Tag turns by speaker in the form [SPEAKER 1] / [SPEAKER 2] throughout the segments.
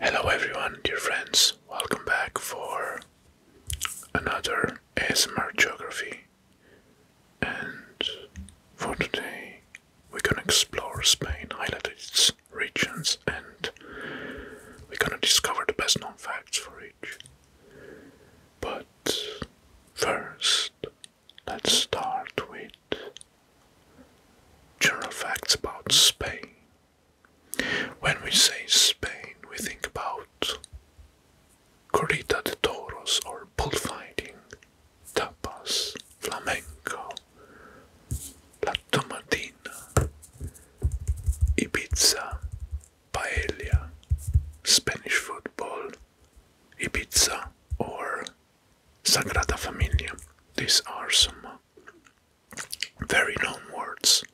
[SPEAKER 1] Hello everyone, dear friends. Welcome back for another ASMR geography. And for today, we're gonna explore Spain, highlight its regions, and we're gonna discover the best known facts for each. But first, let's start with general facts about Spain. When we say Spain, we think about corrida de toros or bullfighting, tapas, flamenco, la tomatina, Ibiza, paella, Spanish football, Ibiza, or Sagrada Familia. These are some very known words.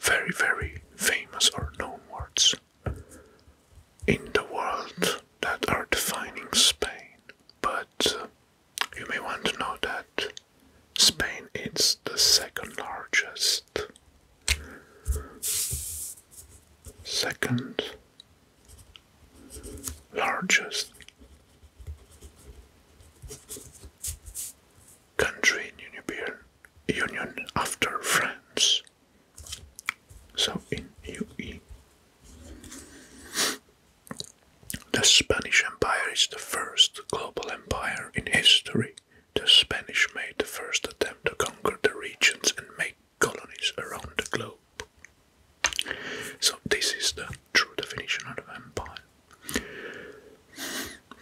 [SPEAKER 1] Very, very famous or known words in the world that are defining Spain. But you may want to know that Spain is the second largest. Second largest country in European Union after France. So in UE. The Spanish Empire is the first global empire in history. The Spanish made the first attempt to conquer the regions and make colonies around the globe. So, this is the true definition of empire.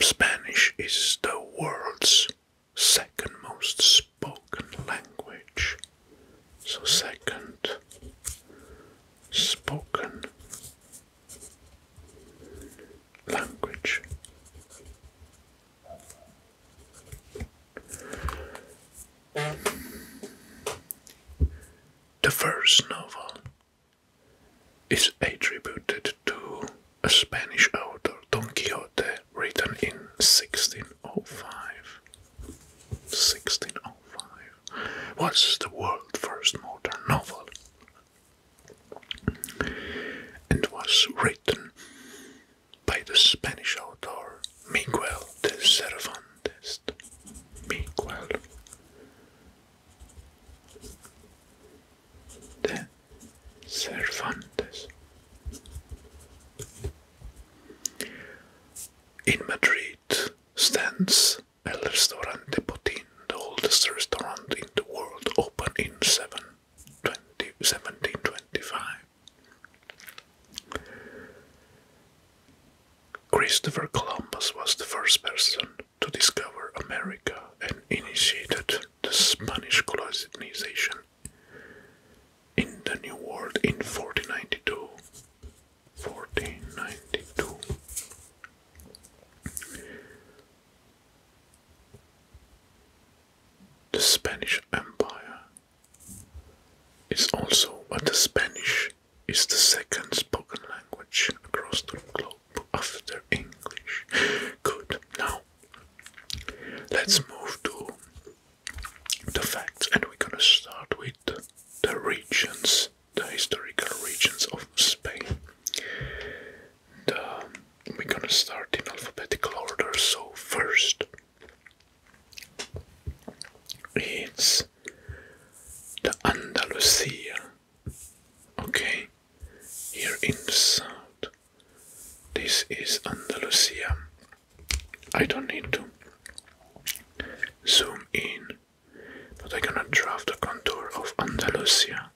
[SPEAKER 1] Spanish is the world's second most spoken language. So, second spoken language. The first novel is attributed to a Spanish author, Don Quixote, written in 1605. 1605 was the world's first modern novel and was written by the Spanish author Miguel de Cervantes. Christ de Cervantes. In Madrid stands El Restaurante Botín, the oldest restaurant in the world, open in 1725. Christopher Columbus was the first person to discover America and initiated the Spanish colonization in the New World in 1492. 1492. The Spanish Empire is also what the Spanish is the second spoken language across the globe after English. Good. Now, let's move to the facts, and we're gonna start with the regions, the historical regions of Spain. we're gonna start in alphabetical order, so first it's the Andalusia. Okay, here in the south. This is Andalusia. I don't need to zoom in, but I'm gonna draw the contour of Andalusia.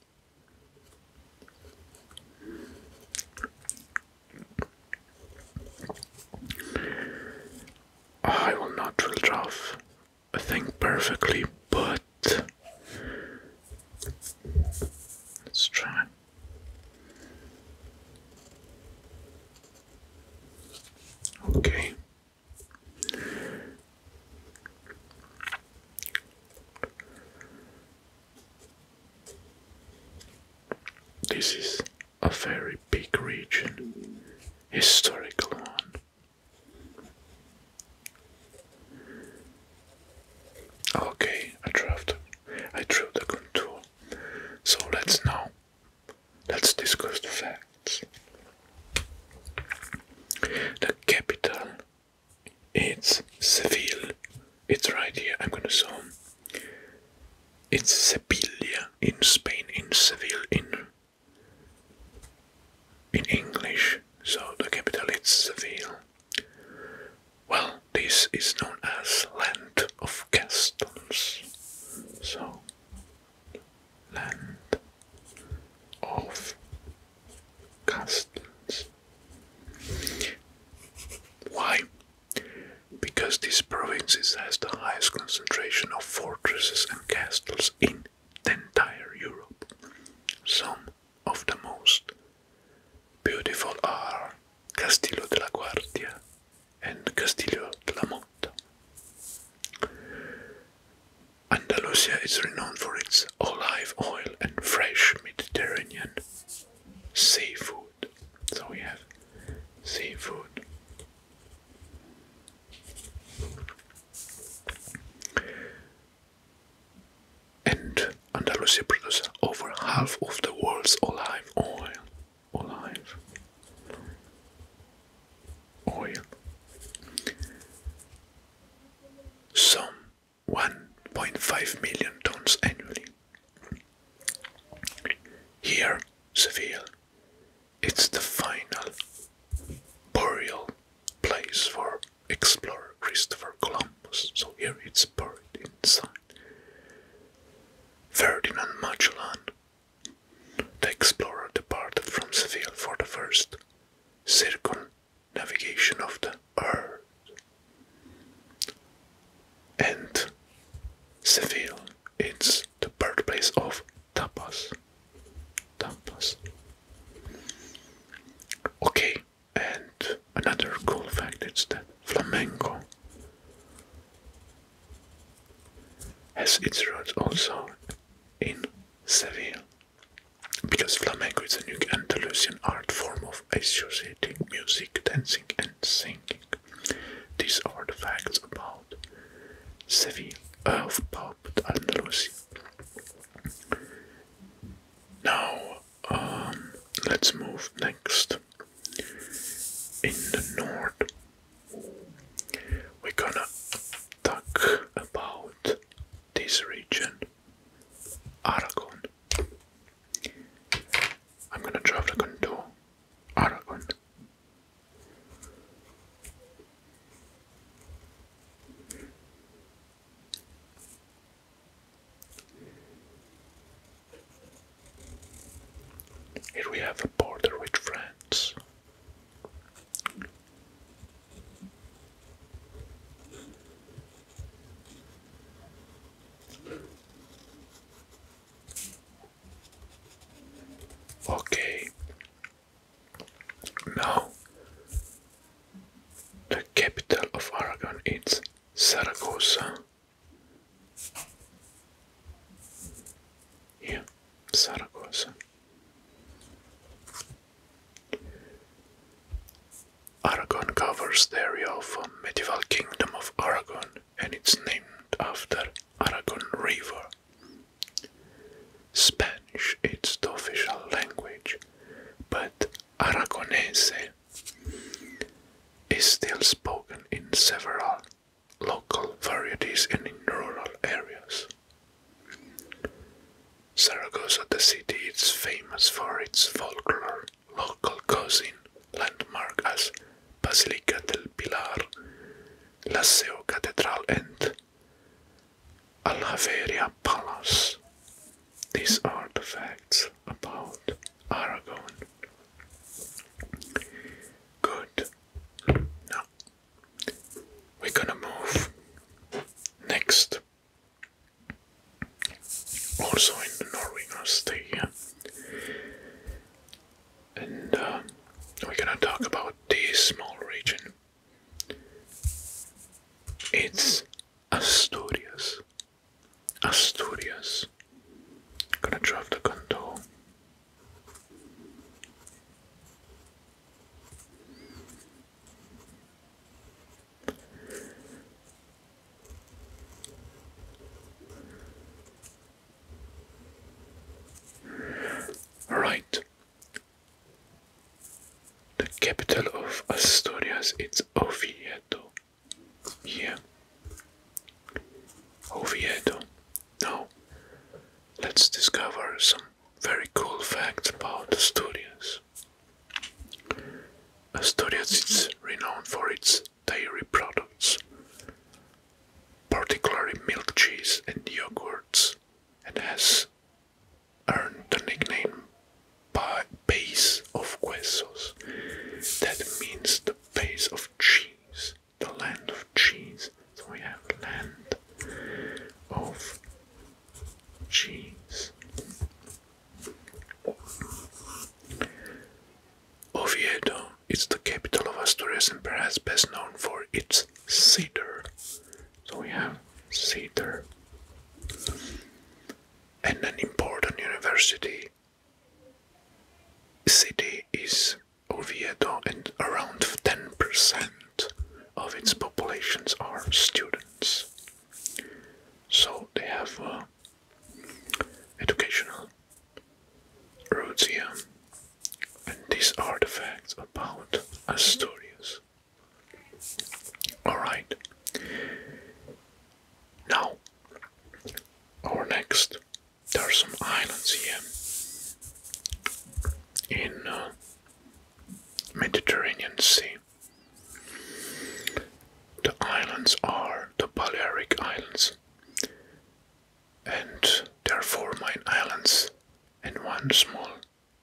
[SPEAKER 1] I will not draw I think perfectly, but let's try. Okay. This is a very big region, historical one. Okay, I draft I drew the contour. So let's now let's discuss the facts. The capital it's Seville. It's right here. I'm gonna zoom. It's Sevilla in Spain, in Seville, in in English, so the capital is Seville. Well, this is known as Land of Castles. So, Land of Castles. Why? Because this province has the highest concentration of fortresses and castles in the entire Europe. Some of the most beautiful are Castillo de la Guardia and Castillo de la Motta. Andalusia is renowned for its olive oil and fresh Mediterranean seafood. So we have seafood. And Andalusia produces over half of the world's olive oil. Olive oil. Some 1.5 million tons annually. Here, Seville it's the final burial place for explorer Christopher Columbus, so here it's buried inside. Ferdinand Magellan, the explorer, departed from Seville for the first circumnavigation of the earth. And Seville it's the birthplace of tapas, tapas. Okay, and another cool fact is that flamenco has its roots also in Seville, because flamenco is a new Andalusian art form of associating music, dancing, and singing. These are the facts about Seville, uh, helped Andalusia. Now, um, let's move next. In the north, we're gonna talk about this region, Aragon. I'm gonna travel to Aragon. Here we have a border with France. Okay, now, the capital of Aragon is Zaragoza. Yeah, Zaragoza. Aragon covers the area of a um, medieval kingdom of Aragon and it's named after Aragon River. Spanish is the official language, but Aragonese is still spoken in several local varieties and in rural areas. Zaragoza, the city, is famous for its folklore, local cuisine, landmark as Basilica del Pilar, Laseo Cathedral, and Alaveria Palace. These are the facts about Aragon. Good. Now we're gonna move next. Also in the Norway, we And um, we're gonna talk about this small region it's Asturias. Asturias. Gonna drop the control. Right, the capital of Asturias is Oviedo. Yeah. Oviedo. Now, let's discover some very cool facts about Asturias. Asturias is renowned for its dairy products, particularly milk cheese and yogurts and has earned the nickname base of Quesos," That means the base of cheese, the land of cheese. So we have land of cheese. Oviedo is the capital of Asturias and perhaps best known for its cedar. So we have Cedar and an important university city is Oviedo and around 10% of its populations are students. So they have educational roots here. And these are the facts about Asturias. Alright. Now, our next. There are some islands here in uh, Mediterranean Sea. The islands are the Balearic Islands, and there are four main islands and one small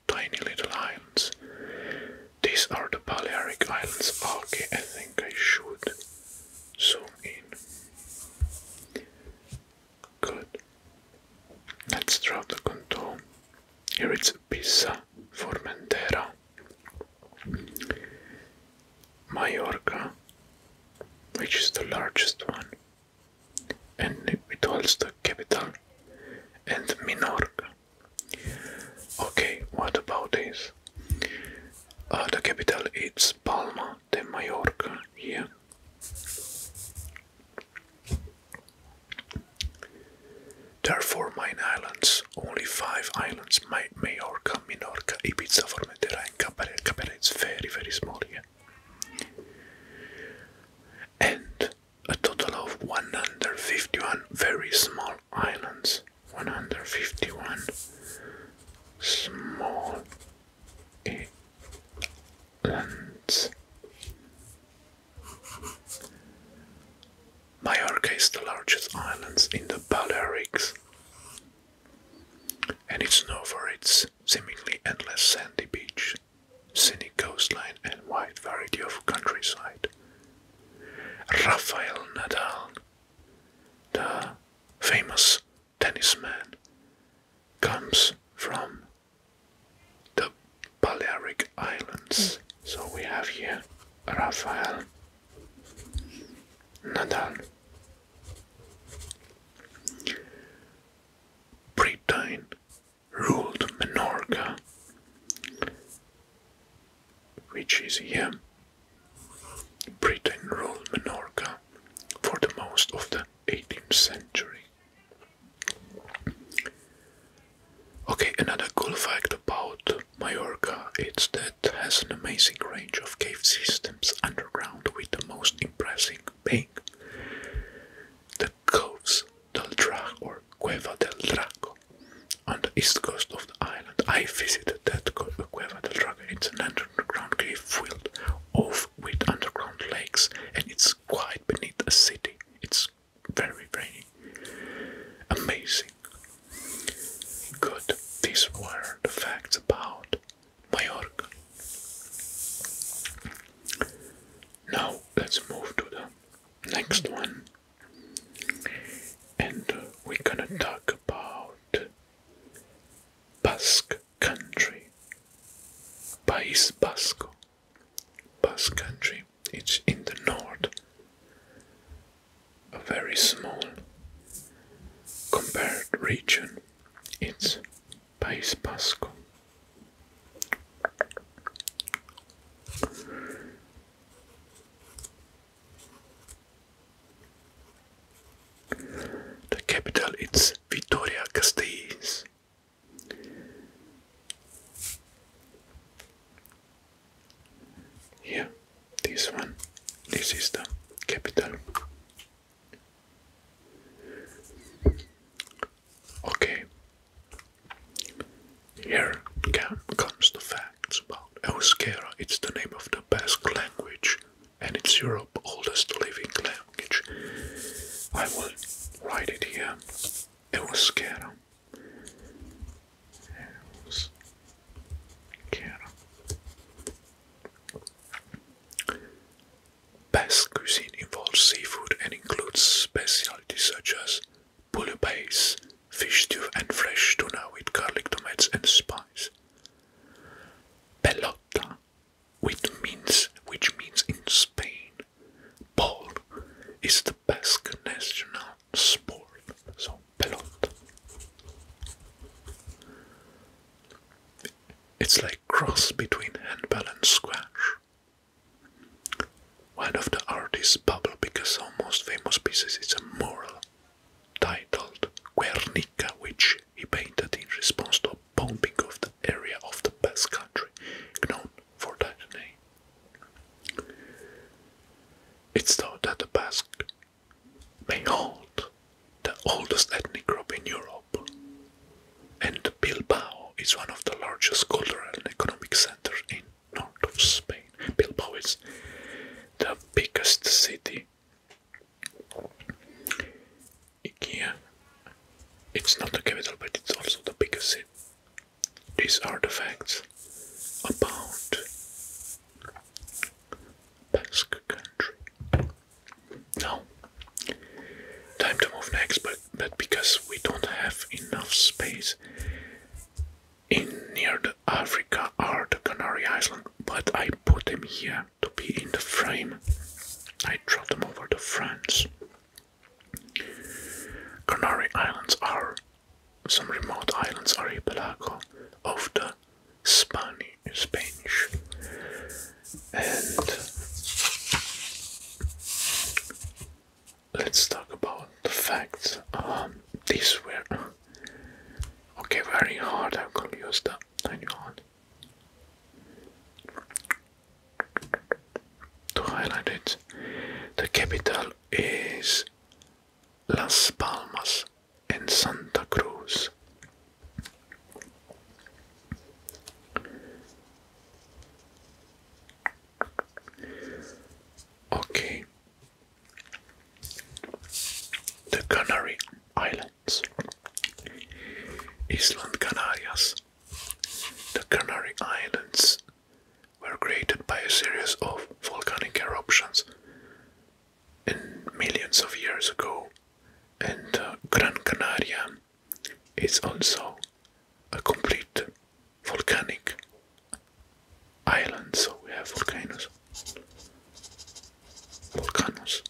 [SPEAKER 1] tiny little islands. These are the Balearic Islands. Okay, I think I should zoom in. Good. Let's draw the contour. Here it's Pisa, Mentera, Majorca, which is the largest one, and it holds the capital and Minorca. Okay, what about this? Uh, the capital is Palma de Mallorca here. There are four main islands, only five islands, My Minorca, Ibiza, for Formentera and Cabrera. Cabrera is very, very small here. And a total of 151 very small islands. 151 small islands. Majorca is the largest island in the Balearics and it's known for its seemingly endless sandy beach, scenic coastline, and wide variety of countryside. Rafael Nadal, the famous tennis man, comes from the Balearic Islands. So we have here Rafael Nadal. Britain ruled Menorca, which is here. Britain ruled Menorca for the most of the 18th century. Okay, another cool fact about Mallorca is that has an amazing range of cave systems underground with the most impressive being the coves del Drago or Cueva del Drago on the east coast of the island. I visited that Cueva del Drago. It's an underground cave filled off with underground lakes and it's quite beneath a city. It's very, very amazing. Good. These were the facts about Mallorca. Now let's move to the next one, and we're gonna talk about Basque country, País Basco, Basque country. It's in the north, a very small compared region. It's País Vasco. The capital is Victoria Gasteiz. Yeah, this one, this is the capital. Okay. Here comes the facts about Euskera. It's the name of the Basque language, and it's Europe's oldest living language. I will write it here. Euskera. Euskera. Basque cuisine involves seafood and includes specialties such as base, fish stew and fresh tuna with garlic, tomatoes and spice. Pelota, which means in Spain, ball, is the Basque national sport. So, pelota. It's like cross between handball and squash. One of the artists, because Picasso's most famous pieces is a mural titled Guernica, which he painted in response to a bombing of the area of the Basque country, known for that name. It's thought that the Basque may hold the oldest ethnic group in Europe, and Bilbao is one of the largest cultural and economic centers in north of Spain. Bilbao is the biggest city. Ikea. It's not the capital, but it's also the biggest city. These are the facts about Basque country. Now, time to move next, but but because we don't have enough space in near the Africa or the Canary Islands, but I put them here to be in the frame. I draw them over to France. Canary Islands are some remote islands archipelago of the Spani Spanish and let's talk about the facts. This um, these okay, very hard. I am gonna use the Hang on to highlight it. The capital is Las Palmas and Santa Cruz. Okay. The Canary Islands. Island Canarias. The Canary Islands were created by a series of volcanic eruptions in millions of years ago, and uh, Gran Canaria it's also a complete volcanic island, so we have volcanoes. Volcanoes.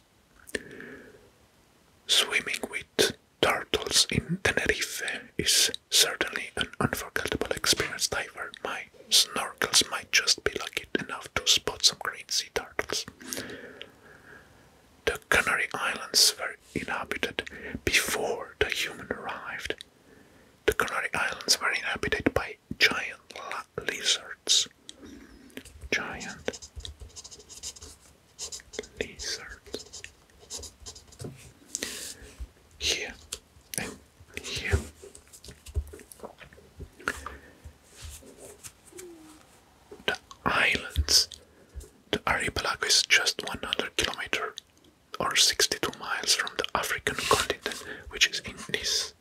[SPEAKER 1] Swimming with turtles in Tenerife is certainly an unforgettable experience. Diver, my snorkels might just be lucky enough to spot some great sea turtles. The Canary Islands were inhabited before the human arrived. The Canary Islands were inhabited by giant lizards. Giant lizards. Here and here. The islands the archipelago is just 100 kilometers or 62 miles from the African continent, which is in this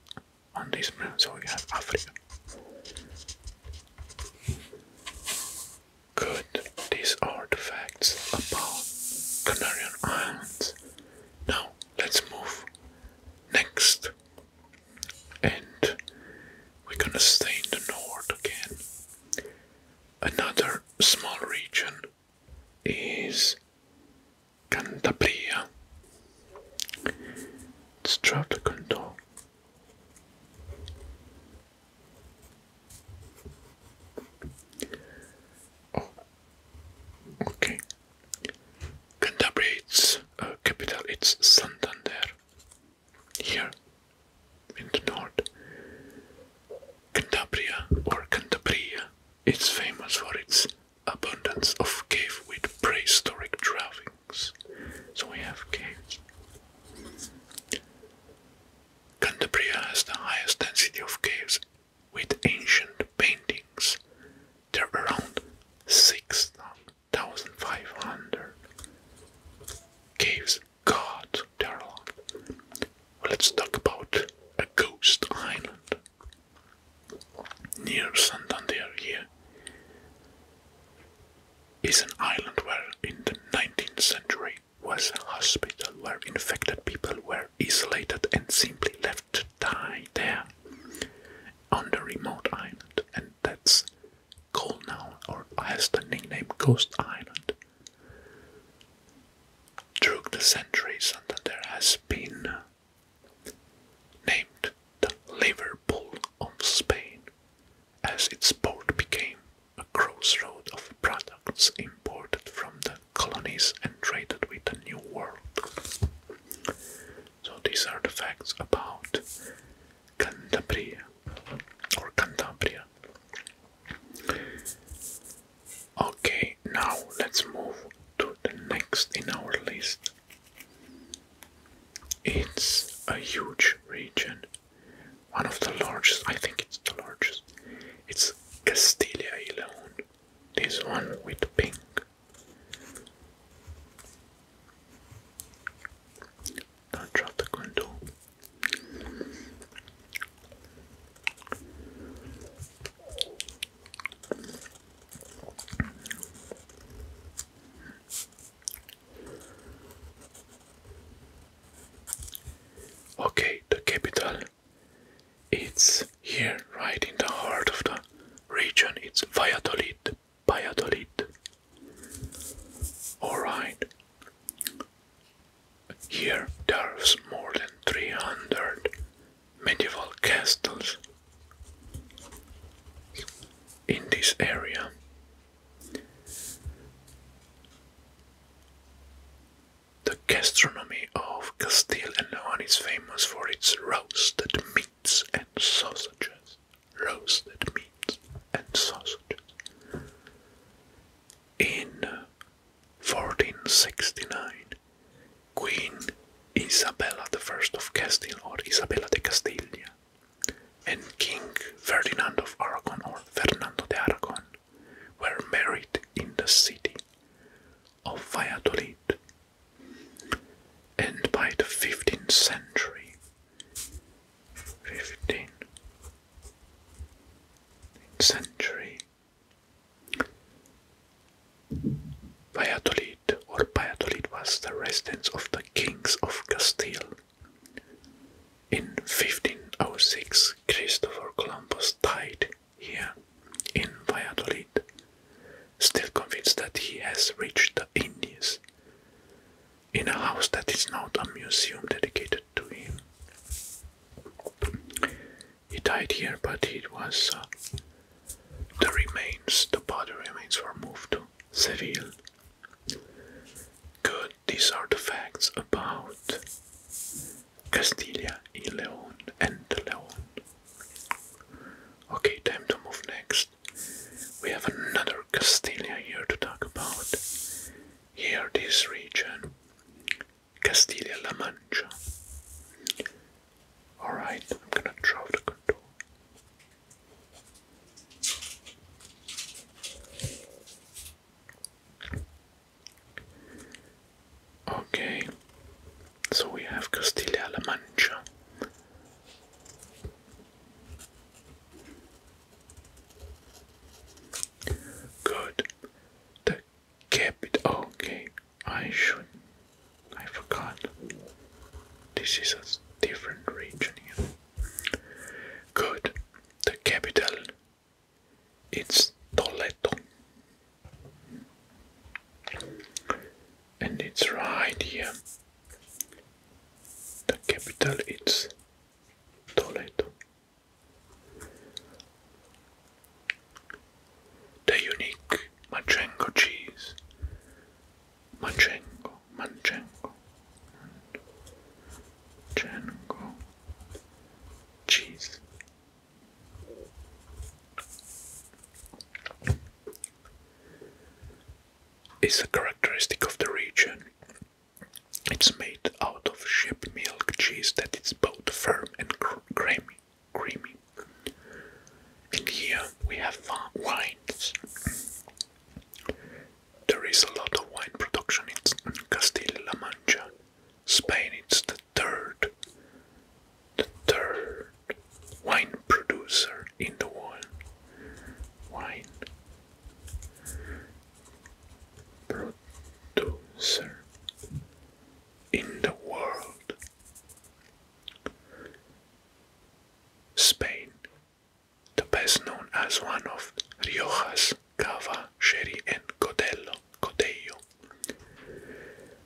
[SPEAKER 1] on this moon. So we have Africa. Good. These are the facts about Canarian Islands. Now let's move next, and we're gonna stay in the north again. Another small region is Cantabria. It's Canton. Oh, okay. Cantabria, uh, capital, it's Santander here in the north. Cantabria or Cantabria is famous for its abundance of cave with prehistoric drawings. So we have caves. Cantabria has the highest density of caves with ancient paintings. There are around 6,500 caves God, they Let's talk about a ghost island near Santander. Is an island where, in the 19th century, was a hospital where infected people were isolated and simply left to die there on the remote island, and that's called now or has the nickname Ghost Island. Through the centuries, Santander has been named the Liverpool of Spain, as its port became a crossroad of products imported from the colonies and traded with the New World. So these are the facts about Cantabria or Cantabria. Okay, now let's move to the next in our list. It's a huge region, one of the largest, I think it's the largest. It's Castilla y León, this one with pink. Don't drop the grundle. Okay, the capital. It's here, right in the heart of the region. It's Valladolid. Valladolid. All right. Here there there's more than 300 medieval castles in this area. The gastronomy of Castile and León is famous for its roasted meats and sausages. Roasted meats and sausages. In 1469, Queen Isabella I of Castile or Isabella de Castilla and King Ferdinand of Aragon or Fernando de Aragon were married in the city of Valladolid. And by the 15th century, 15 century. Valladolid or Valladolid was the residence of the kings of Castile. In 1506, Christopher Columbus died here in Valladolid, still convinced that he has reached the Indies, in a house that is now a museum dedicated to him. He died here, but it was uh, the remains, the body remains were moved to Seville. Good, these are the facts about Castilla y Leon and Leon. Okay, time to move next. We have another Castilla here to talk about. Here, this region, Castilla-La Mancha. Alright, I'm gonna draw the contour. Okay, so we have Castilla-La Mancha. Good. The capital. Okay, I should. I forgot. This is a different region Good. The capital. It's Toledo. And it's right here. The capital it's Toledo. The unique Manchego cheese. Manchego, Manchego, Manchego cheese. Is a characteristic of the region it's made out of sheep milk cheese that is both firm and creamy. creamy. here we have wines. There is a lot of wine production in Castilla-La Mancha. Spain is the third, the third wine producer in the world. Wine producer in the world. Spain, the best known as one of Rioja's Cava, Sherry, and Codello,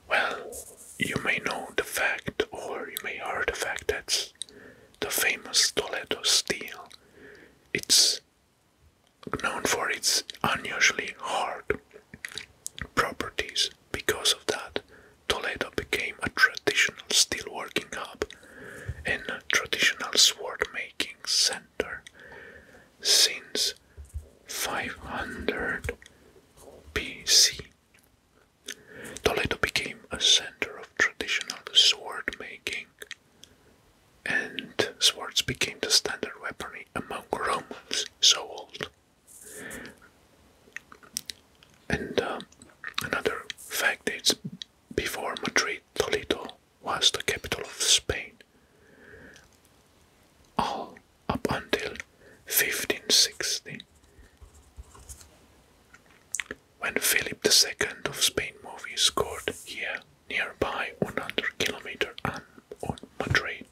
[SPEAKER 1] Well, you may know the fact, or you may hear the fact that's the famous Toledo steel. It's known for its unusually hard properties. Because of that, Toledo became a traditional steelworking hub and a traditional sword making center since 500 BC. Toledo became a center of traditional sword making and swords became the standard weaponry among Romans so old. And um, another fact is, before Madrid, Toledo was the capital of Spain. All up until 1560, when Philip II of Spain movie court here nearby 100 km and Madrid.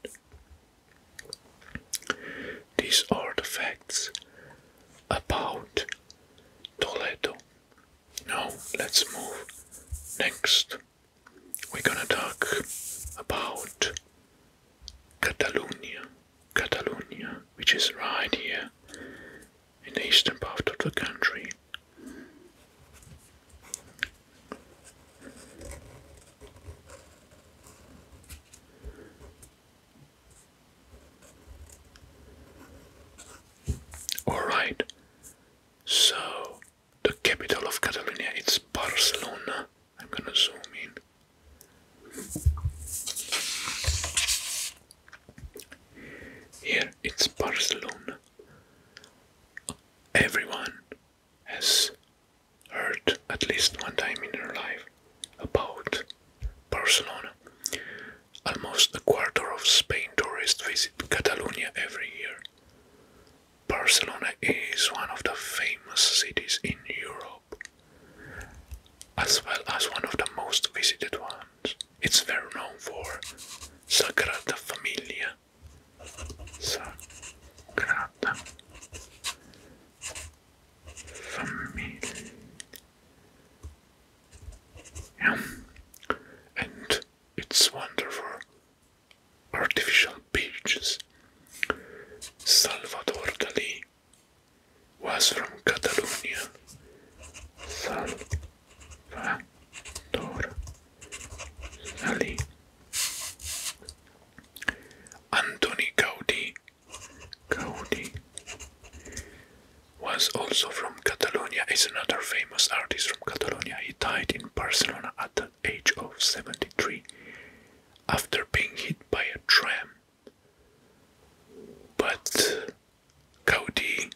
[SPEAKER 1] These are the facts about Toledo. Now let's move next. We're gonna talk about Catalonia. Catalonia, which is right here in the eastern part of the country. All right. So the capital of Catalonia it's Barcelona. I'm going to zoom in. Here it's Barcelona. Everyone has heard at least one time in their life about Barcelona. Almost a quarter of Spain tourists visit Catalonia every year. Barcelona is one of the famous cities in Europe, as well as one of the most visited ones. It's very known for Sagrada Familia, Sagrada Familia. And its wonderful artificial beaches. Salvador Dali was from Catalonia. Antoni Gaudi was also from Catalonia, is another famous artist from Catalonia. He died in Barcelona at the age of 73 after being hit by a tram. But Gaudi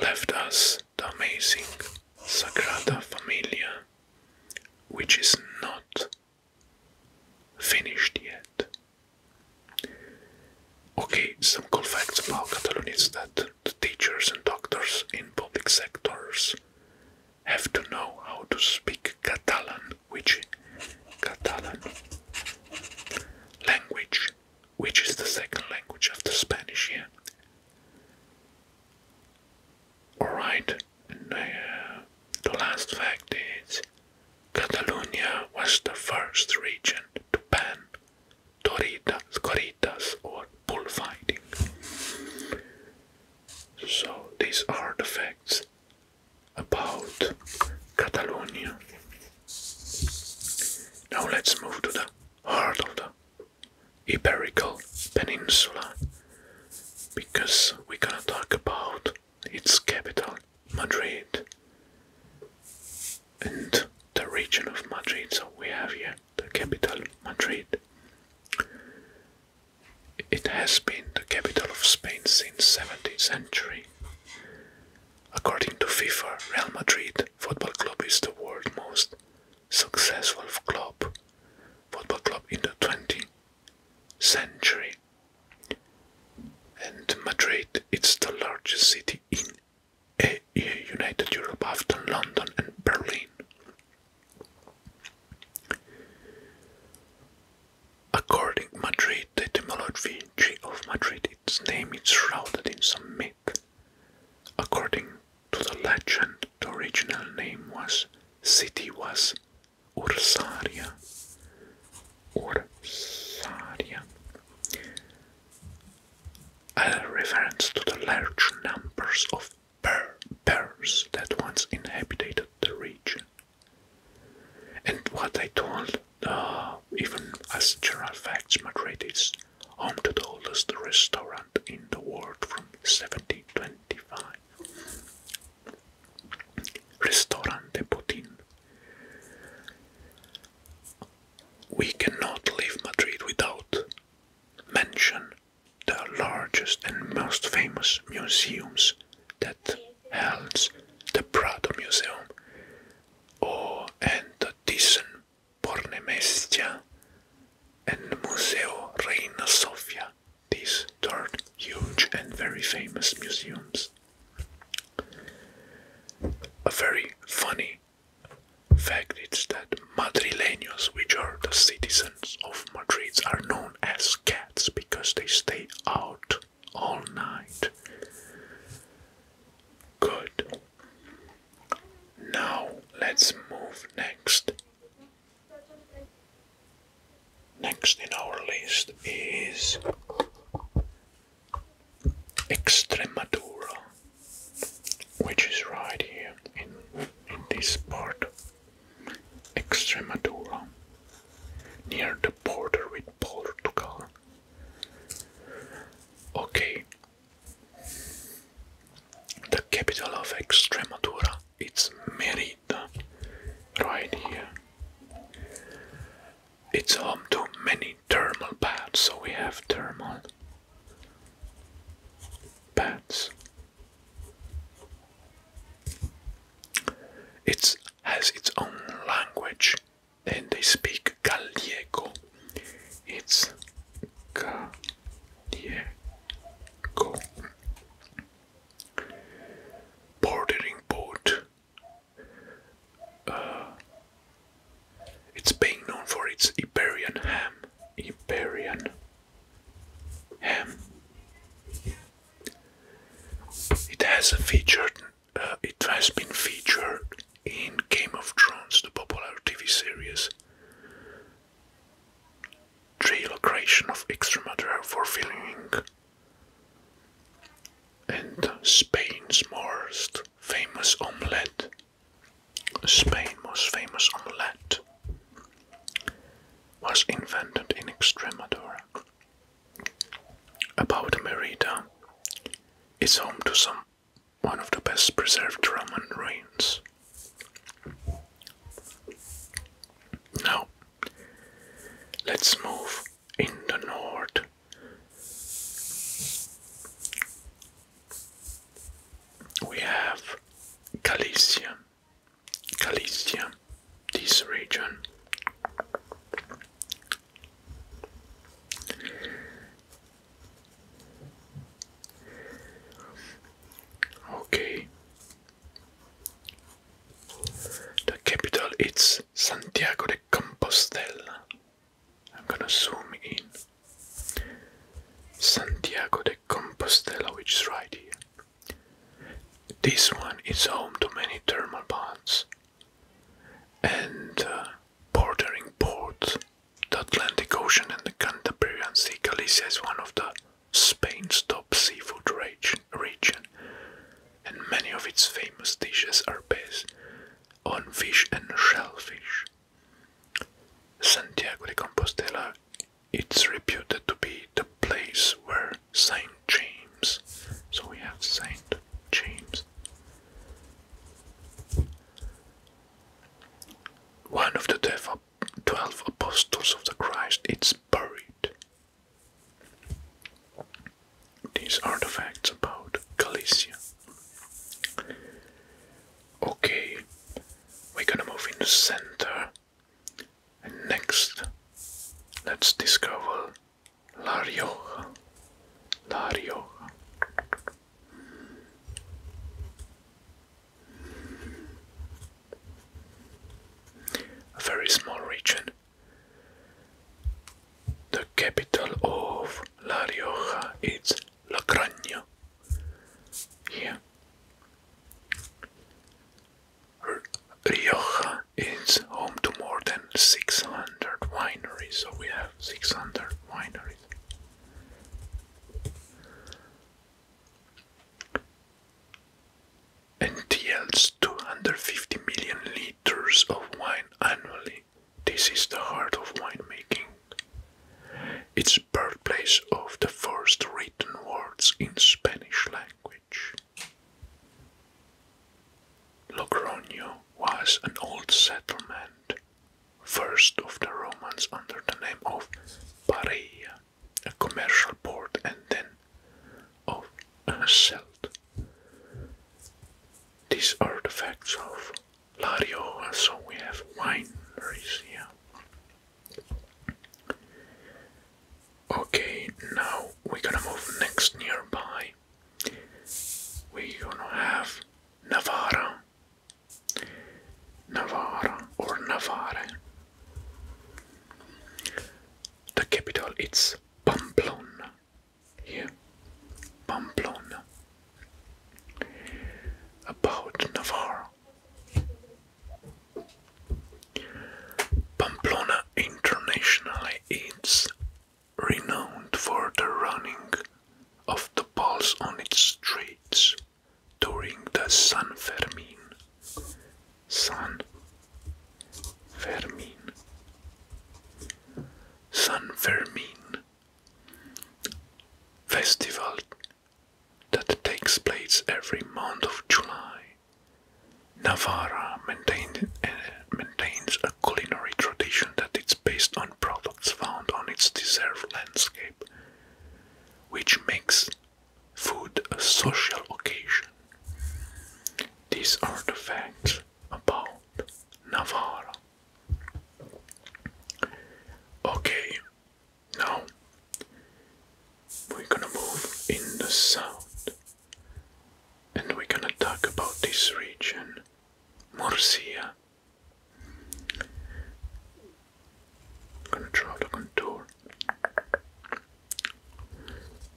[SPEAKER 1] left us the amazing Sagrada Familia, which is not finished yet. Okay, some cool facts about Catalonia is that the teachers and doctors in public sectors have to know how to speak Catalan, which Catalan language which is the second language after Spanish here. Alright, uh, the last fact is Catalonia was the first region to ban toritas, corridas, or bullfighting. So, these are the facts about Catalonia. Now, let's move to the heart of the Iberical Peninsula because we're gonna talk about its capital, Madrid, and the region of Madrid. So we have here the capital, Madrid. It has been the capital of Spain since 17th century. According to FIFA, Real Madrid Football Club is the world's most successful club, football club in the 20th century. And Madrid, it's the largest city in United Europe after London and Berlin. According Madrid, the etymology of Madrid, its name is shrouded in some myth. According to the legend, the original name was city was Ursaria. Ursaria. A reference to the large numbers of bears that once inhabited the region. And what I told, uh, even as general facts, Madrid is home to the oldest restaurant in the world from 1725. Restaurante Putin. We cannot leave Madrid without mention the largest and most famous museums that holds the Prado Museum or oh, and the Thyssen Bornemestia and Museo Reina Sofia. These third huge and very famous museums. A very funny fact is that Madrileños, which are the citizens of Madrid, are known as cats because they stay out all night. Good. Now let's move next. Next in our list is Extremadura, which is right here in, in this part. Extremadura, near the border with Portugal. Okay, the capital of Extremadura is Merida, right here. It's home to many thermal baths, so we have thermal baths. It has its own language and they speak Gallego. It's yeah, cool. Bordering port. Uh, it's being known for its Iberian ham. Iberian ham. It has a featured. Uh, it has been featured in Game of Thrones, the popular TV series. Relocation of Extremadura for filming. And Spain's most famous omelette. Spain's most famous omelette was invented in Extremadura. About Merida, it's home to some one of the best preserved Roman ruins. Now, let's move in the north. We have Galicia, Galicia, this region. Okay. The capital is Santiago de Compostela. I'm gonna zoom in. Santiago de Compostela, which is right here. This one is home to many thermal baths and uh, bordering ports the Atlantic Ocean and the Cantabrian Sea, Galicia is one of the Spain's top seafood region, and many of its famous dishes are based on fish and shellfish. Santiago de Compostela it's reputed to be the place where Saint James, so we have Saint James, one of the twelve apostles of the Christ is buried. These are the facts about Galicia. Okay, we're gonna move in the center. And next, let's discover Lario. Rioja. A very small region. The capital of La Rioja is La Graña. Here. R Rioja is home to more than 600 wineries, so we have 600 wineries. Entails 250 million liters of wine annually. This is the heart of winemaking. It's birthplace of the first written words in Spanish language. Logroño was an old settlement first of the Romans under the name of Pareia, a commercial port, and then of Selt. Uh, These are the facts of Lario. so we have wineries here. Okay, now we're gonna move next nearby. we gonna have Navarra, Navarre. Navarra or Navarre. The capital is Pamplona. Here, Pamplona. About Navarre. Pamplona internationally is renowned for the running of the bulls on its streets during the San Fermin. San Fermin. San Fermin festival that takes place every month of July. Navarra eh, maintains a culinary tradition that is based on products found on its desert landscape which makes food a social occasion. These are the facts about Navarra. Okay, now we're gonna move in the south and we're gonna talk about this region, Murcia I'm gonna draw the contour.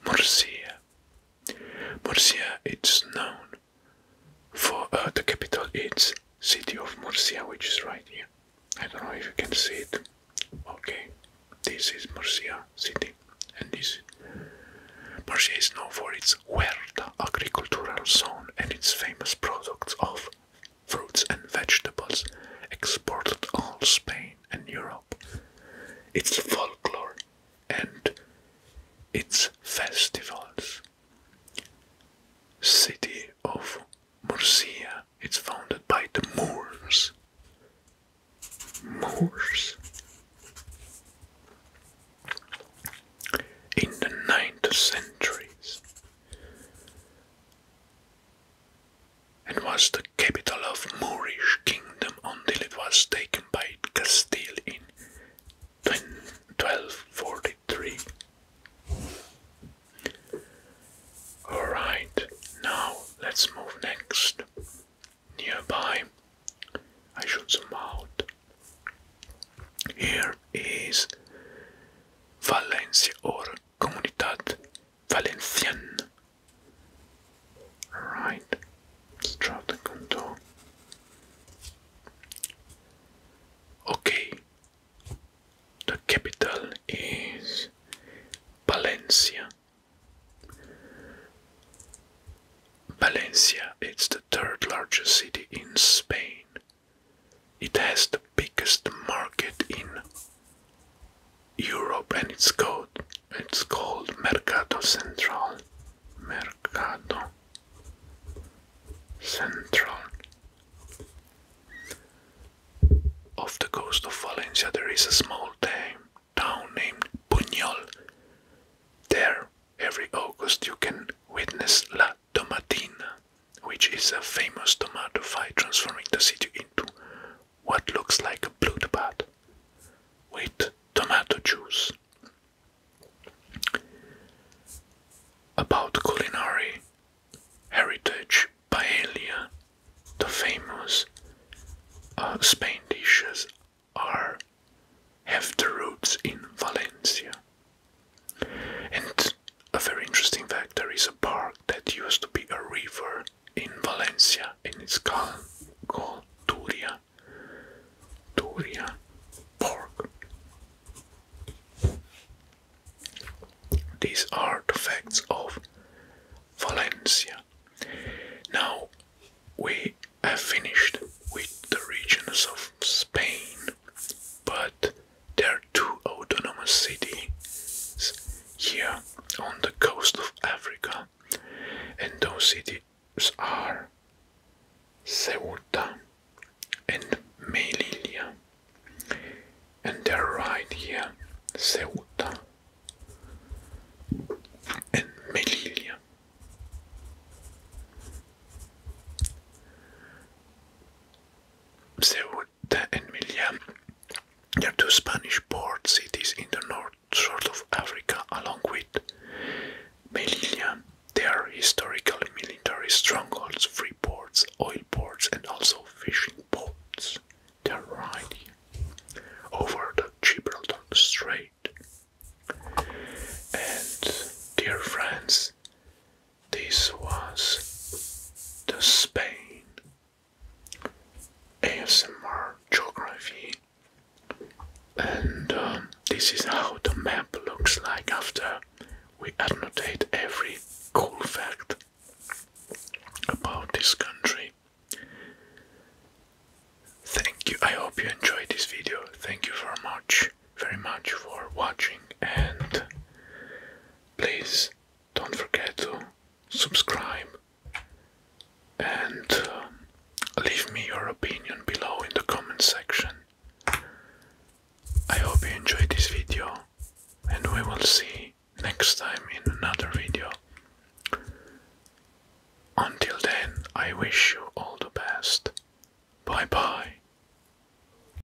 [SPEAKER 1] Murcia. Murcia it's known for uh, the capital it's city of Murcia which is right here. I don't know if you can see it. Okay. This is Murcia city and this Murcia is known for its huerta agricultural zone and its famous products of fruits and vegetables exported all Spain and Europe. Its folklore and its festivals. City of Murcia. It's founded by the Moors. Moors. In the ninth centuries, it was the capital of Moorish kingdom until it was taken by Castile in 1243. Alright, now let's move next. Nearby, I should zoom out. Here is Valencia or Comunitat Valenciana. Right. let's draw the contour. Okay, the capital is Valencia. Valencia It's the third largest city in Spain it has the biggest market in Europe and it's called it's called Mercado Central. Mercado Central. Off the coast of Valencia there is a small town named Buñol. There every August you can witness La Tomatina, which is a famous tomato fight transforming the city into what looks like a blood bath with tomato juice. About culinary heritage, paella, the famous uh, Spain dishes are have the roots in Valencia, and a very interesting fact there is a park that used to be a river in Valencia and it's called, called Turia Park. These are the facts of Valencia. Now we have finished with the regions of Spain, but there are two autonomous cities here on the coast of Africa, and those cities are Ceuta and Melilla. And they're right here, Ceuta and Melilla. Ceuta and Melilla. are two Spanish port cities in the north shore of Africa, along with Melilla. They are historical military strongholds, free ports, oil ports, and also fishing ports. They are right over the Gibraltar Strait. And dear friends, this was the Spain ASMR geography, and um, this is how the map looks like after we annotate every cool fact about this country. Thank you. I hope you enjoyed this video. Thank you very much, very much for watching, and please don't forget to subscribe and um, leave me your opinion below in the comment section. I hope you enjoyed this video and we will see next time in another video. Until then, I wish you all the best. Bye bye.